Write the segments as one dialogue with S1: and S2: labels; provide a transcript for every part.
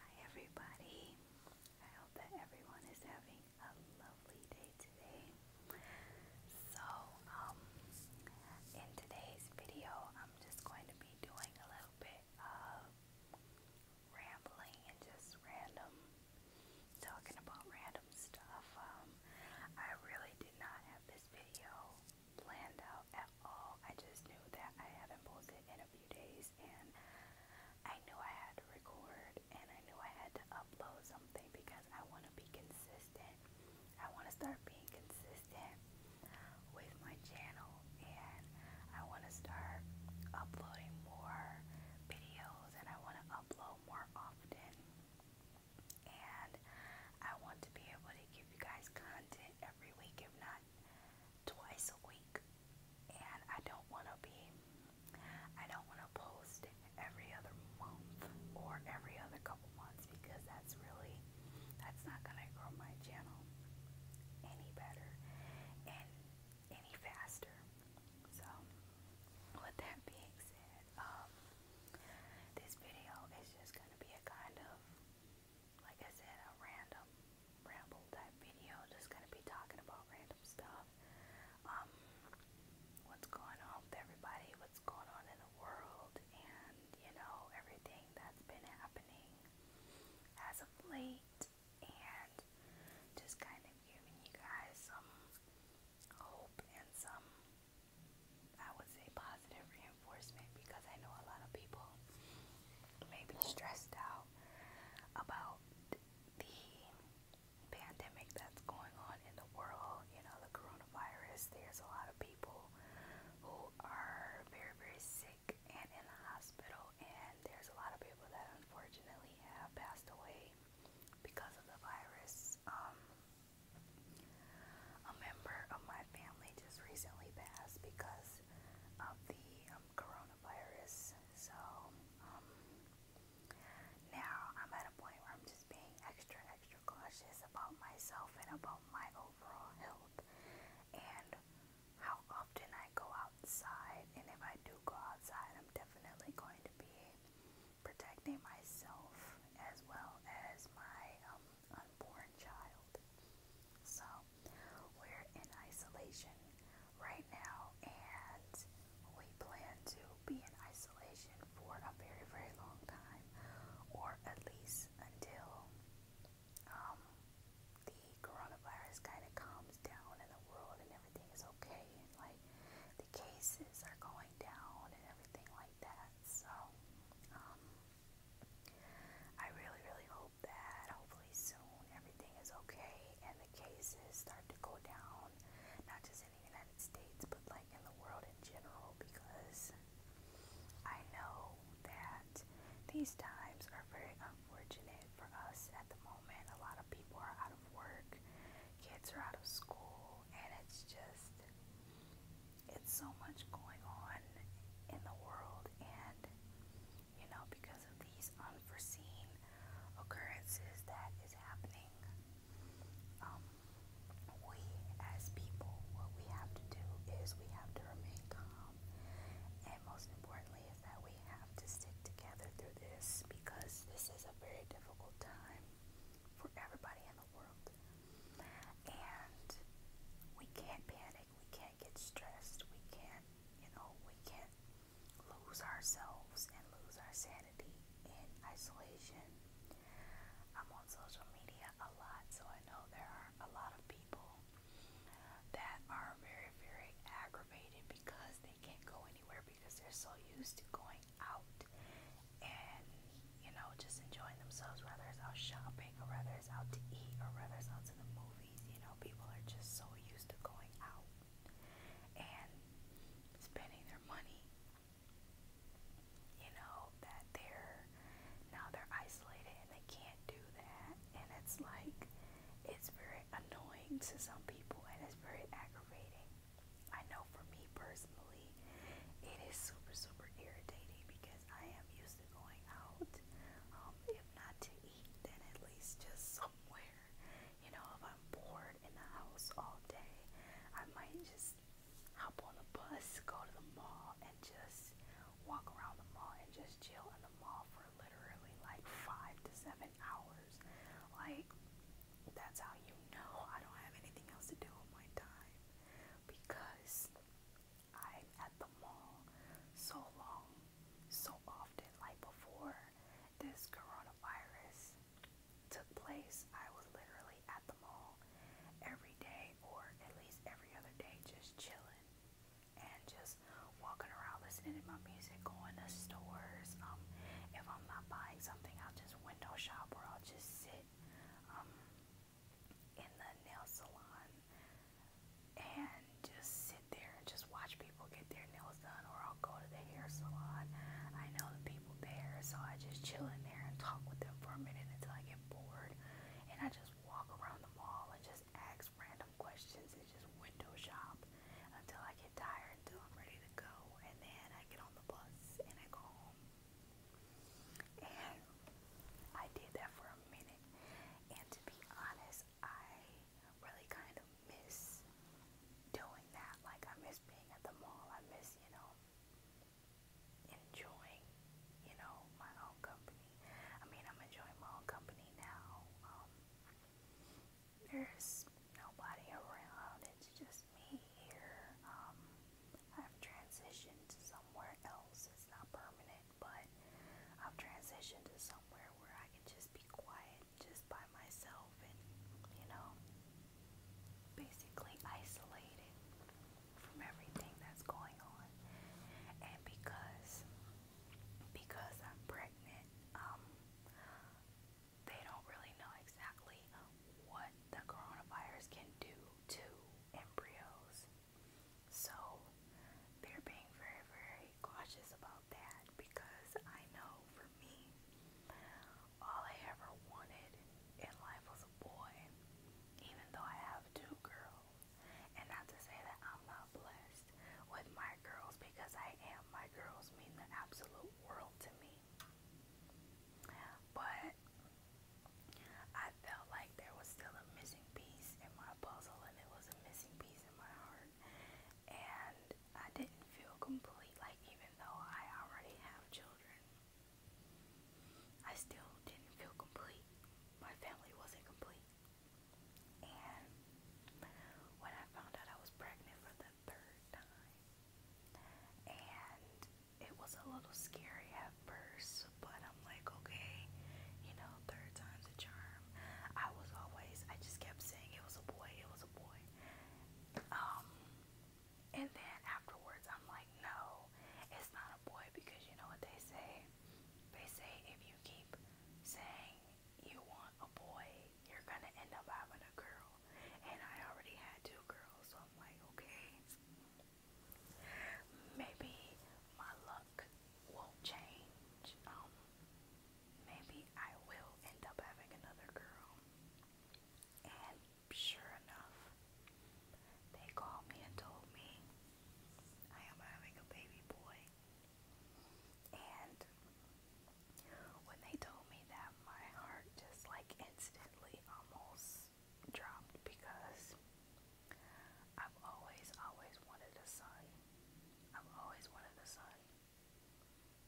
S1: Hi everybody. I hope that everyone is having a lovely day today. So, um, in today's video, I'm just going to be doing a little bit of rambling and just random talking about random stuff. Um, I really did not have this video planned out at I just knew that I haven't posted in a few days and I knew I had to record and I knew I had to upload something because I want to be consistent. I want to start being consistent with my channel and I want to start uploading more videos and I want to upload more often. And I want to be able to give you guys content every week, if not twice a week and I don't want to be I don't want to post every other month or every other couple months because that's really that's not going to grow my channel any better and any faster. So with that being said, um, this video is just going to be a kind of like I said, a random ramble type video. Just gonna be talking about random stuff. Um, what's going on with everybody? What's going on in the world? And you know everything that's been happening as of late, and just kind of giving you guys some hope and some, I would say, positive reinforcement enforcement because I know a lot of people may be stressed out about the pandemic that's going on in the world, you know, the coronavirus. There's a lot of people who are very, very sick and in the hospital, and there's a lot of people that unfortunately have passed away because of the virus. Um, a member of my family just recently passed because of the um, coronavirus. So, um, now I'm at a point where I'm just being extra, extra cautious about myself and about my overall health and how often I go outside. And if I do go outside, I'm definitely going to be protecting myself as well as my um, unborn child. So we're in isolation right now, and we plan to be in isolation for a very, very long time, or at least until um, the coronavirus kind of calms down in the world and everything is okay, and like the cases are going down and everything like that. So, um, I really, really hope hope that hopefully soon everything is okay and the cases start to go down, not just in the United States, but like in the world in general, because I know that these times are very unfortunate for us at the moment. A lot of people are out of work, kids are out of school, and it's just it's so much going on in the world, and you know, because of these unforeseen occurrences that is happening, um, we as people, what we have to do is we have to remain calm, and most importantly, is that we have to stick together through this because this is a very difficult time for everybody in the world, and we can't panic we can't get stressed, we can't, you know, we can't lose ourselves and lose our sanity in isolation. I'm on social media a lot, so I know there are a lot of people that are very, very aggravated because they can't go anywhere because they're so used to going out and, you know, just enjoying enjoying themselves, whether it's out shopping or whether it's out to eat or whether it's out to the movies. You know, people are just so used to going out and spending their money. You know, that they're now they're isolated and they can't do that. And it's like it's very annoying to some people and it's very aggravating. I know for me personally, it is super, super irritating because because I am used to going out. Um, if not to eat, then at least just somewhere. You know, if I'm bored in the house all day, I might just hop on the bus, go to the mall, and just walk around the mall and just chill in the mall for literally like five to seven hours. Like, that's how you know I don't have anything else to do with my time because I'm at the mall so long, so often, like before this coronavirus took place, I was literally at the mall every day or at least every other day just chilling and just walking around listening to my music, going to stores. Um, if I'm not buying something, I'll just window shop or I'll just sit. Um, in the nail salon and just sit there and just watch people get their nails done, or I'll go to the hair salon. I know the people there, so I just chill in there and talk with them for a minute until I get bored. And I just walk around the mall and just ask random questions and just window shop until I get tired, until I'm ready to go. And then I get on the bus and I go home. And I did that for a minute. And to be honest, I really kind of miss doing that. Like, I miss being at the mall. I miss, you know, enjoying, you know, my own company. I mean, I'm enjoying my own company now. Um, there's nobody around. It's just me here. Um, I've transitioned to somewhere else. It's not permanent, but I've transitioned to somewhere where I can just be quiet just by myself and, you know, basically isolated from everything that's going on. And because because I'm pregnant, um, they don't really know exactly what the coronavirus can do to embryos so they're being very, very cautious about that because I know for me, all I ever wanted in life was a boy, even though I have two girls. And not to say that I'm not blessed with my girls because I am. My girls mean the absolute world to me. But I felt like there was still a missing piece in my puzzle, and it was a missing piece in my heart. And I didn't feel complete, like, even though I already have children, I still didn't feel complete. My family wasn't complete. And when I found out I was pregnant for the third time, and it was a little scary at first, but I'm like, okay, you know, third time's a charm. I was always, I just kept saying it was a boy, it was a boy. Um, and then afterwards, I'm like, no, it's not a boy because you know what they say? They say if you keep saying you want a boy, you're gonna end up having a girl. And I already had two girls, so I'm like, okay, Maybe my luck won't change. Um, maybe I will end up having another girl. And sure enough, they called me and told me I am having a baby boy. And when they told me that, my heart just like instantly almost dropped because I've always, always wanted a son. I've always wanted a son.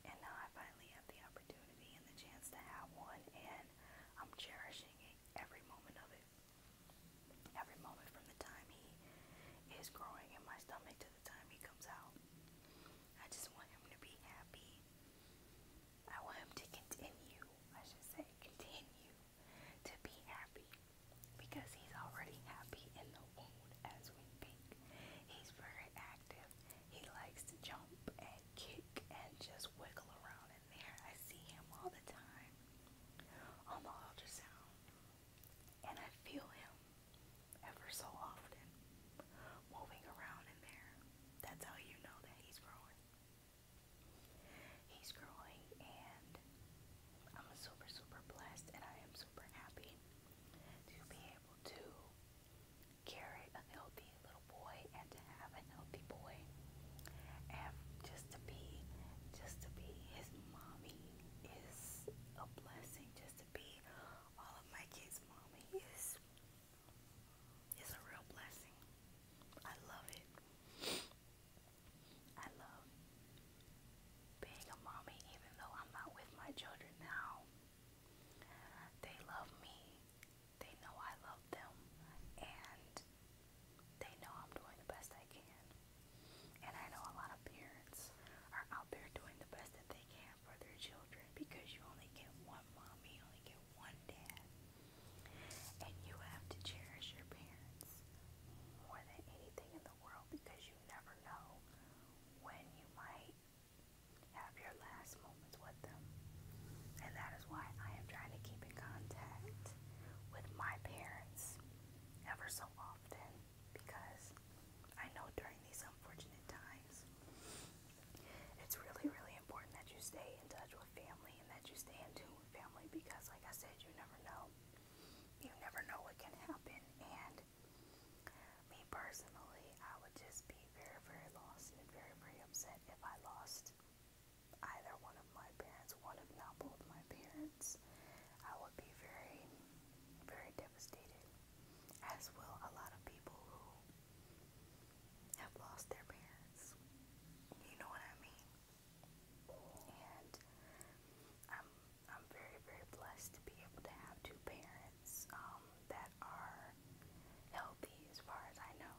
S1: And now I finally have the opportunity and the chance to have one, and I'm cherishing every moment of it. Every moment from the time he is growing in my stomach to the time he comes out. I just want him to be happy. I want him to continue, I should say, continue to be happy because he's already happy in the womb as we think, He's very active. He likes to jump and kick and just wiggle around in there. I see him all the time on the ultrasound. And I feel him ever so often moving around in there. That's how you know that he's growing. He's growing, and I'm super, super blessed, and I am super happy to be able to carry a healthy little boy and to have a healthy boy, and just to be, just to be his mommy is a blessing. Just to be all of my kids' mommy is it's a real blessing. I love it. I love being a mommy, even though I'm not with my children now. They love me. They know I love them. And they know I'm doing the best I can. And I know a lot of parents are out there doing the best that they can for their children because you only get one mom, you only get one dad. And you have to cherish your parents more than anything in the world because you never know when you might have your last moments with them. And that is why I am trying to keep in contact with my parents ever so often because I know during these unfortunate times it's really, really important that you stay in touch with family and that you stay in tune with family because, like I said, you never know. You never know what can happen. And me personally, I would just be very, very lost and very, very upset if I lost either one of my parents, one if not both my parents. I would be very, very devastated, as will a lot of people who have lost their parents. You know what I mean? And I'm I'm very, very blessed to be able to have two parents um, that are healthy as far as I know.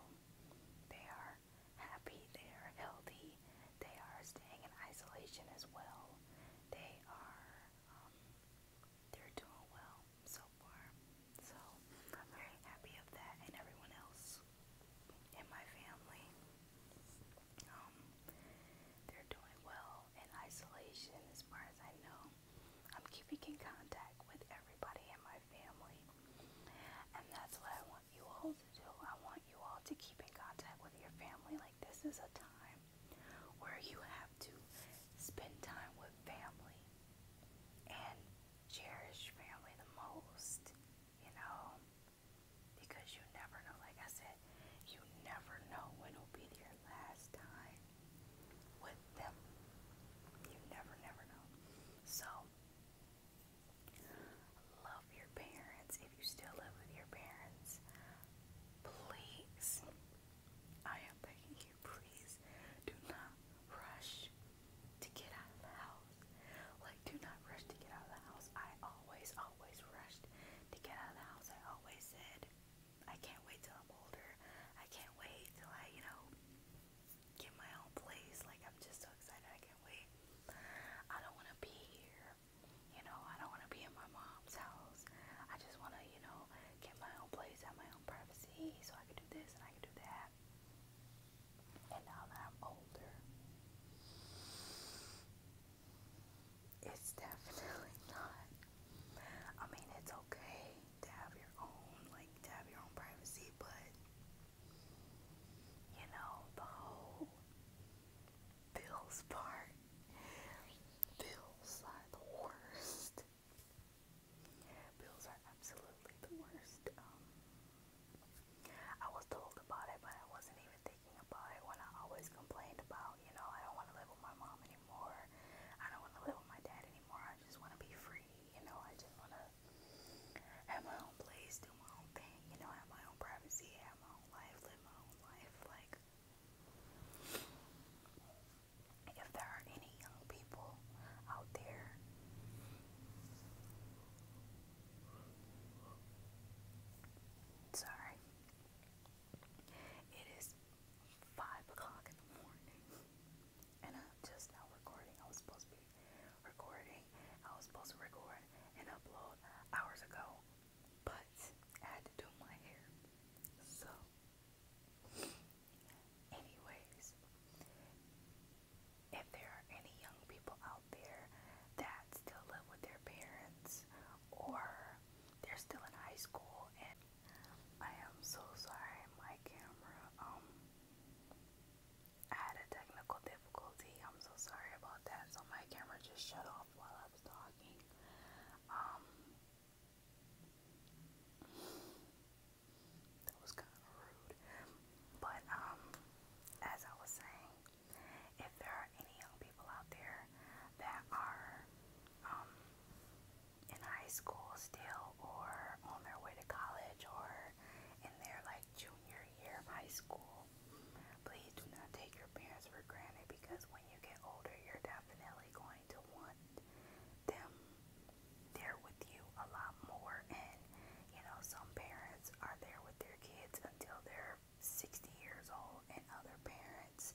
S1: They are happy, they are healthy, they are staying in isolation as well. They are um, they're doing well. So so I'm very happy of that and everyone else in my family. Um, they're doing well in isolation as far as I know. I'm keeping in contact with everybody in my family. And that's what I want you all to do. I want you all to keep in contact with your family. Like this is a time where you have to spend time with family and cherish family the most, you know, because you never know. Like I said, you never know when it'll be your last time with them. You never, never know. So, love your parents. If you still live with your parents, please, I am begging you, please do not rush to get out of the house. Like, do not rush to get out of the house. I always, always rushed to get out of the house. I always said, I can't wait till I'm older. I can't wait till I, you know, get my own place. Like, I'm just so excited. I can't wait. I don't want to be here. You know, I don't want to be in my mom's house. I just want to, you know, get my own place, have my own privacy so I can do this and I can do that. And now that I'm older, it's definitely not. I mean, it's okay to have your own, like, to have your own privacy, but you know, the whole bills part, bills are the worst. Bills are absolutely the worst. Um, I was told about it, but I wasn't even thinking about it when I always complained about, you know, I don't want to live with my mom anymore. I don't want to live with my dad anymore. I just want to be free, you know. I just want to have my own place, do my own thing, you know, have my own privacy, have my own life, live my own life. Like, if there are any young people out there sorry it is five o'clock in the morning and i just now recording I was supposed to be recording I was supposed to record and upload hours ago but had to do my hair so Anyways, if there are any young people out there that still live with their parents or they're still in high school and I am so sorry my camera um I had a technical difficulty. I'm so sorry about that. So my camera just shut off while I was talking. Um that was kind of rude. But um, as I was saying, if there are any young people out there that are um, in high school still or on their way to college or in their like junior year of high school, please do not take your parents for granted because when you get older, you're definitely going to want them there with you a lot more. And, you know, some parents are there with their kids until they're 60 years old, and other parents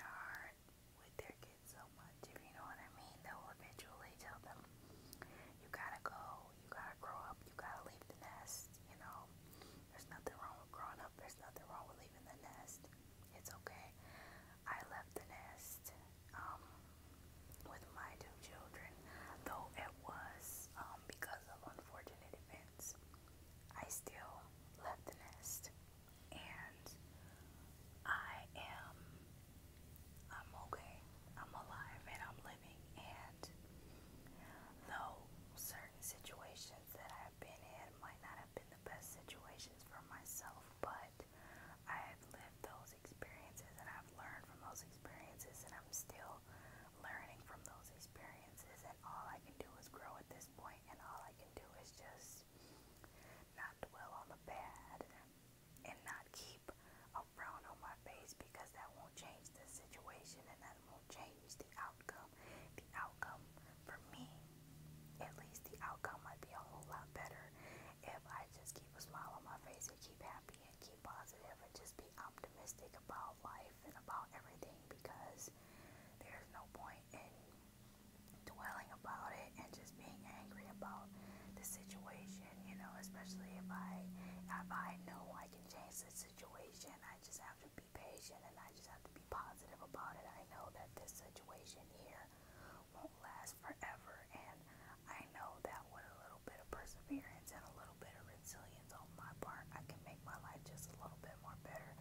S1: aren't with their kids so much, if you know what I mean. They'll eventually tell them, you gotta go, you gotta grow up, you gotta leave the nest, you know. There's nothing wrong with growing up, there's nothing wrong with leaving the nest. It's okay. I left the nest um, with my two children, though it was um, because of unfortunate events. I still left the nest, and I am. I'm okay. I'm alive and I'm living. And though certain situations that I've been in might not have been the best situations for myself, but I've lived those experiences and I've learned from those experiences and I'm still learning from those experiences and all I can do is grow at this point and all I can do is just not dwell on the bad and not keep a frown on my face because that won't change the situation and that won't change the outcome. The outcome for me, at least the outcome might be a whole lot better if I just keep a smile on my face and keep happy and keep positive and just be optimistic about life and about everything because there's no point in dwelling about it and just being angry about the situation, you know, especially if I if I know I can change the situation, I just have to be patient and I just have to be positive about it. I know that this situation here won't last forever. And I know that with a little bit of perseverance and a little bit of resilience on my part, I can make my life just a little bit more better.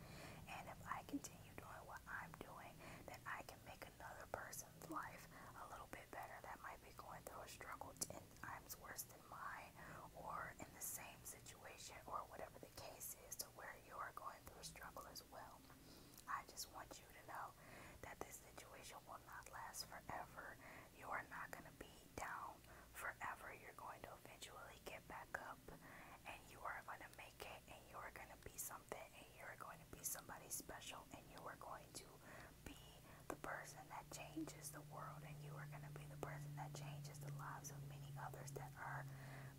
S1: And if I continue doing what I'm doing, then I can make another person's life a little bit better that might be going through a struggle 10 times worse than mine or in the same situation or whatever the case is to where you are going through a struggle as well. I just want you to know that this situation will not last forever. You are not going to be down forever. You're going to eventually get back up and you are going to make it and you are going to be something and you are going to be somebody special and you are going to be the person that changes the world and you are going to be the person that changes the lives of many others that are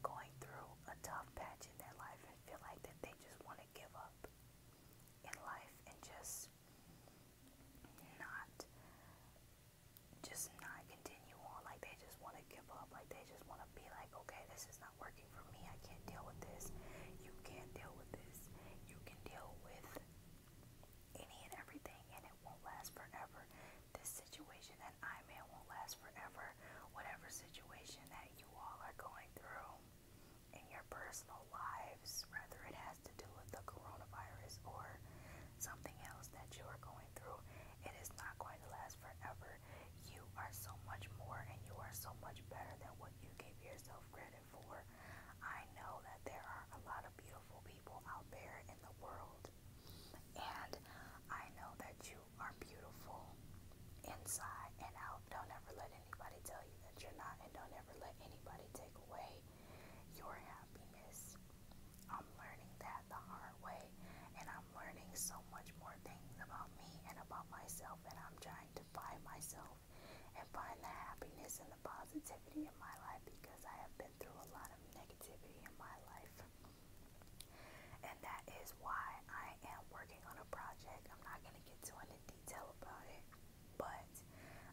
S1: going through a tough patch in their life and feel like that they just want to give up in life and just not just not continue on like they just want to give up like they just want to be like okay this is not working for me i can't deal with this you can't deal with this you can deal with any and everything and it won't last forever this situation that i'm in won't last forever whatever situation that you all are going through in your personal lives, whether it has to do with the coronavirus or something else that you are going through, it is not going to last forever. You are so much more and you are so much better than what you gave yourself credit for. I know that there are a lot of beautiful people out there in the world, and I know that you are beautiful inside and out. Don't ever let anybody tell you that you're not, and don't ever let anybody take away your happiness. I'm learning that the hard way, and I'm learning so much more things about me and about myself, and I'm trying to find myself and find the happiness and the positivity in my life because I have been through a lot of negativity in my life. And that is why I am working on a project. I'm not going to get too into detail about it, but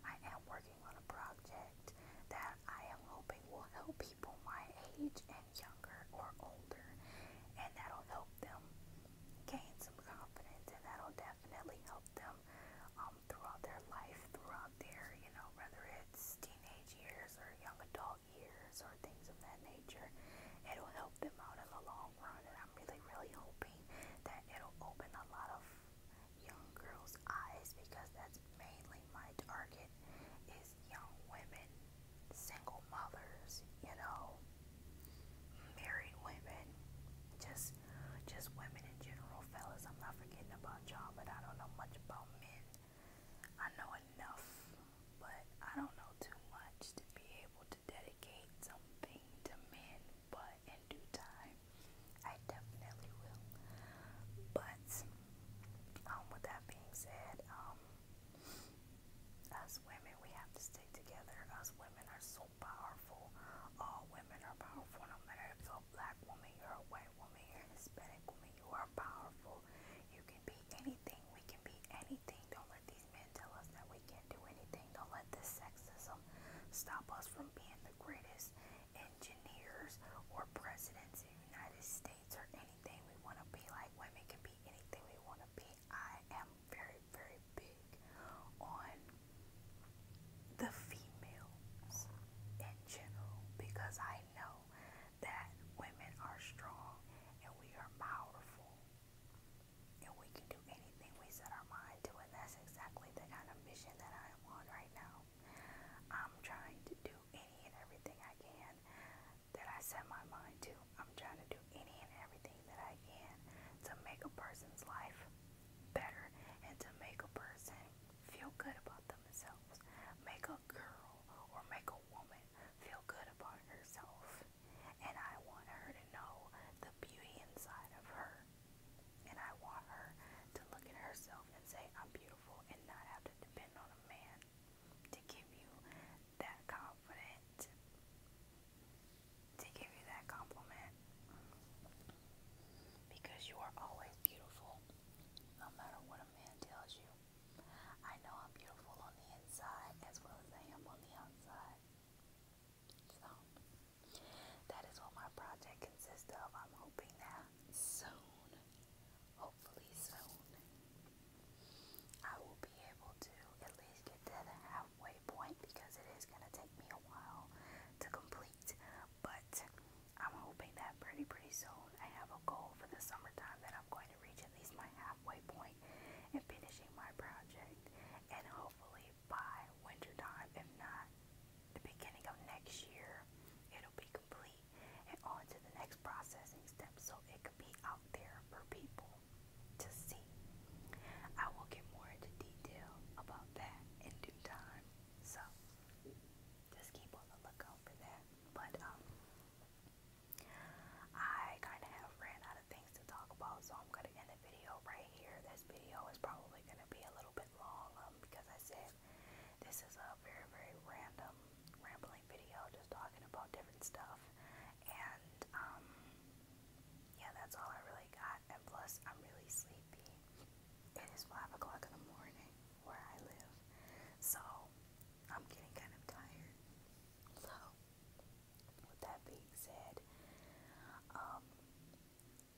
S1: I am working on a project that I am hoping will help people my age and younger or older. And that'll help them gain some confidence, and that'll definitely help them um, throughout their life, throughout their, you know, whether it's teenage years or young adult years or things of that nature. It'll help them out in the long I'm really, really hoping that it'll open a lot of young girls' eyes because that's mainly my target is young women, single mothers, you know, married women, just just women in general, fellas. I'm not forgetting about y'all, but I don't know much about men. I know enough but I don't know too much to be able to dedicate something to men, but in due time, I definitely will. But um, with that being said, um, us women, we have to stay together. Us women are so powerful. All women are powerful, no matter if you're a black woman, you're a white woman, you're a Hispanic woman, you are powerful. You can be anything. We can be anything. Don't let men tell us that we can't do anything. Don't let this sexism stop us from being the greatest engineers or presidents in the United States or anything we want to be. Like women can be anything we want to be. I am very, very big on the females in general because I know that women are strong and we are powerful and we can do anything we set our mind to, and that's exactly the kind of mission that I am on right now. I'm trying to do any and everything I can that I set my mind to. I'm trying to do any and everything that I can to make a person's life better and to make a person feel good about themselves. Make a girl or make a woman feel good about herself. And I want her to know the beauty inside of her. And I want her to look at herself and say, I'm beautiful, and not have to depend on a man to give you that confident, to give you that compliment. Because you are always beautiful, no matter what a man tells you. I know I'm beautiful on the inside as well as I am on the outside. So, that is what my project consists of. I'm hoping that soon, hopefully soon, I will be able to at least get to the halfway point because it is going to take me a while to complete. But I'm hoping that pretty, pretty soon I have a goal for the summertime that I'm going to reach at least my half Waypoint and finishing my project and hopefully by wintertime, if not the beginning of next year, it'll be complete and on to the next processing step so it could be out there for people to see. I will get more into detail about that in due time. So just keep on the lookout for that. But um I kind of have ran out of things to talk about, so I'm going to end the video right here. This video is probably going to be a little bit long um, because I said this is a very, very random, rambling video just talking about different stuff. And, um, yeah, that's all I really got. And plus, I'm really sleepy. It is 5 o'clock in the morning where I live, so I'm getting kind of tired. So, with that being said, um,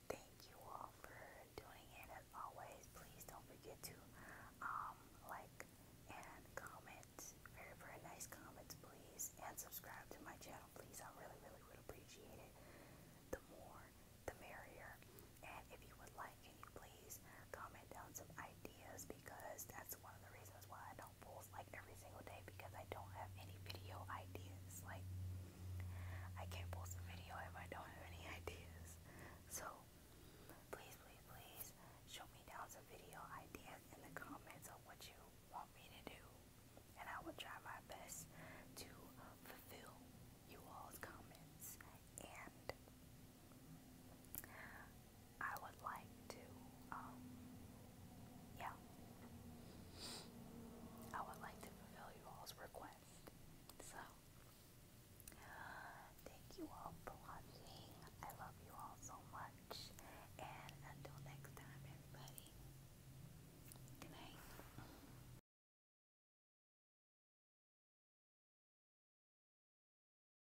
S1: thank you all for tuning in as always. Please don't forget to um, like and comment. Very, very nice comments, please. And subscribe to my channel, please. I really, really would appreciate it. The more, the merrier. And if you would like, can you please comment down some ideas because that's one of the reasons why I don't post like every single day because I don't have any video ideas. Like, I can't post a video if I don't have any ideas. So, please, please, please show me down some video ideas in the comments of what you want me to do, and I will try my best to fulfill you all's comments and I would like to, um, yeah. I would like to fulfill you all's request. So, thank you all for watching. I love you all so much. And until next time, everybody, good night.